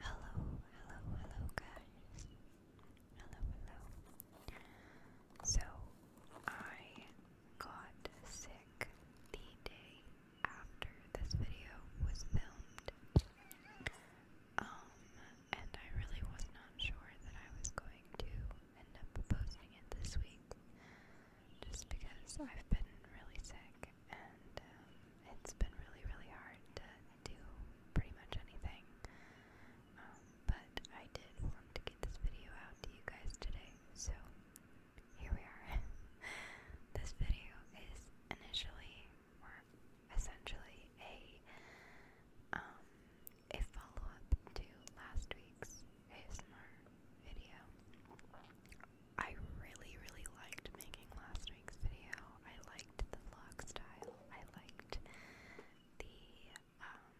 Hello, hello, hello, guys. Hello, hello. So, I got sick the day after this video was filmed. Um, and I really was not sure that I was going to end up posting it this week just because I've been really sick and um, it's been really, really hard to do pretty much anything. Um, but I did want to get this video out to you guys today, so here we are. this video is initially or essentially a um, a follow-up to last week's ASMR video. I really, really liked making last week's video. I liked the vlog style. I liked the, um,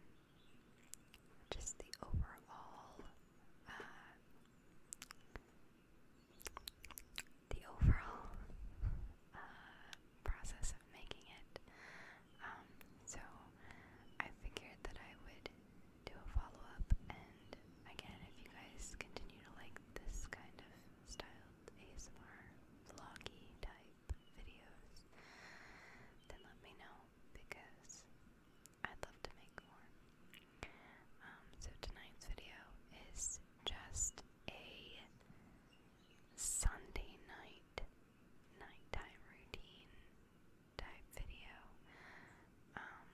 just the overall, uh, the overall, uh, process of making it. Um, so I figured that I would do a follow up, and again, if you guys continue to like this kind of styled ASMR vloggy type videos, then let me know because I'd love to make more. Um, so tonight's video is just a Sunday night nighttime routine type video. Um,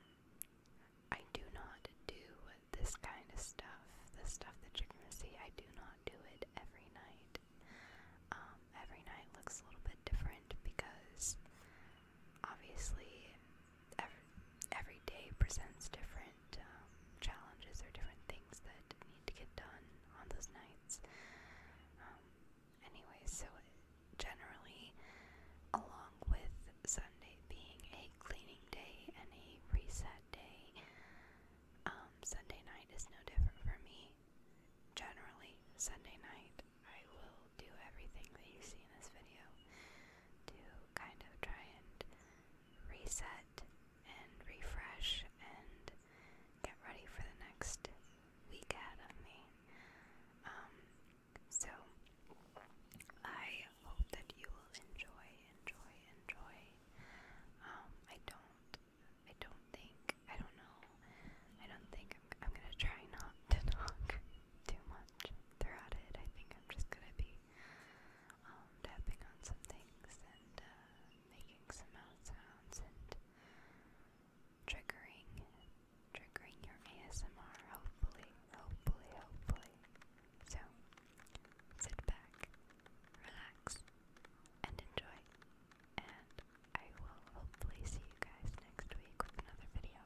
I do not do this kind of stuff, the stuff that you're gonna see. I do not do it every night. Um, every night looks a little bit different because obviously every, every day presents different um, challenges or different things that need to get done on those nights. Um, anyway, so generally, along with Sunday being a cleaning day and a reset day, um, Sunday night is no different for me. Generally, Sunday night, I will do everything that you see in this video to kind of try and reset and refresh and get ready for the next week ahead of me. Um, so I hope that you will enjoy, enjoy, enjoy. Um, I don't, I don't think, I don't know, I don't think I'm, gonna try not to talk too much throughout I think I'm just gonna be um, tapping on some and uh, making some mouth sounds and triggering triggering your ASMR hopefully hopefully hopefully so sit back relax and enjoy and I will hopefully see you guys next week with another video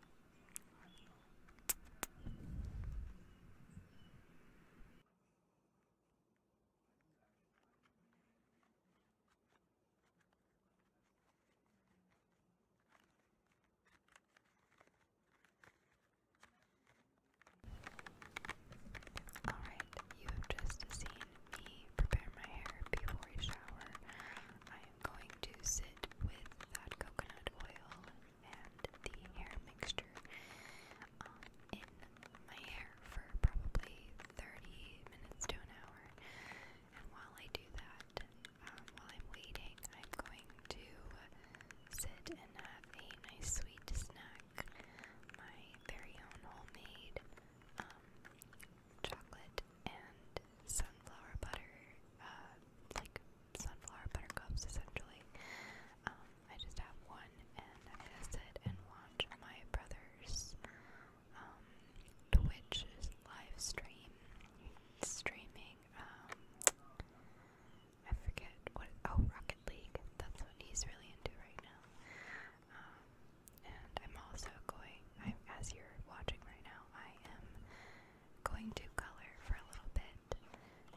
Alright, you have just seen me prepare my hair before a shower. I am going to sit with that coconut oil and the hair mixture um, in my hair for probably 30 minutes to an hour. And while I do that, um, while I'm waiting, I'm going to sit and have a nice sweet snack. My very own homemade um, chocolate and sunflower butter, uh, like sunflower buttercups essentially. Um, I just have one and I'm gonna sit and watch my brother's um, live stream streaming. Um, I forget what. Oh, Rocket League. That's what he's really into right now. Um, and I'm also going. I, as you're watching right now, I am going to color for a little bit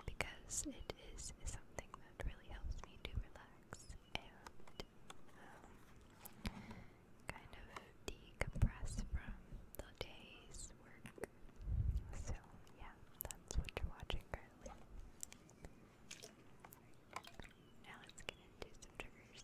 because it is, something that really helps me to relax and um, kind of decompress from the day's work. So, yeah, that's what you're watching currently. Now let's get into some triggers.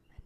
mental includes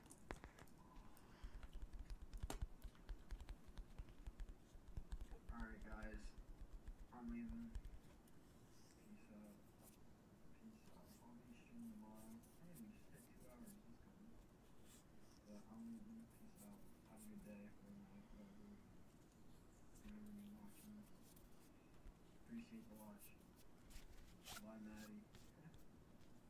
Alright guys, I'm leaving. Peace out. Peace out. I'll be streaming tomorrow. I didn't even shit two hours. That's good. But I'm leaving. Peace out. Have a good day. Or night, whatever. Whenever you're watching. Appreciate the watch. Bye Maddie.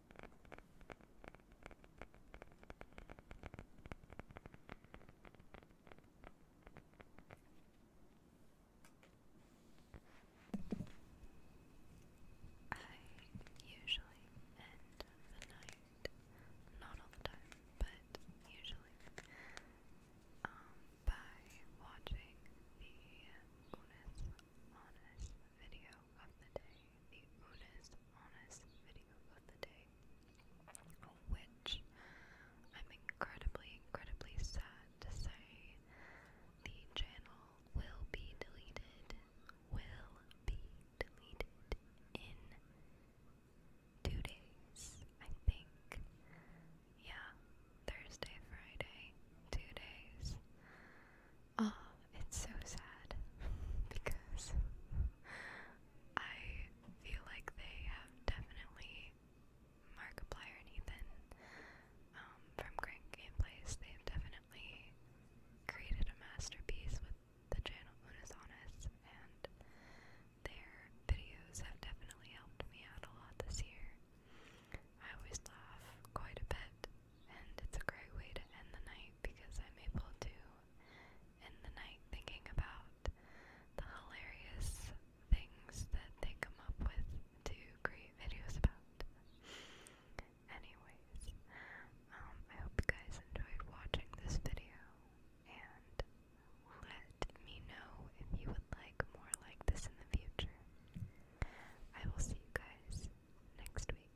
I usually end the night, not all the time, but usually, um, by watching the Unis Honest video of the day, the Unis Honest video of the day, which I'm incredibly, incredibly sad to say the channel will be deleted, will be deleted in two days, I think. Yeah, Thursday, Friday, two days. Um, it's so sad because I feel like they have definitely Markiplier and Ethan um, from Crank Gameplays. They have definitely created a masterpiece with the channel Unis Honest, and their videos have definitely helped me out a lot this year. I always laugh quite a bit and it's a great way to end the night because I'm able to end the night thinking about the hilarious things that they come up with to create videos about. Anyways, um, I hope you guys enjoyed watching this video and let me know if you would like more like this in the future. I will see you guys next week.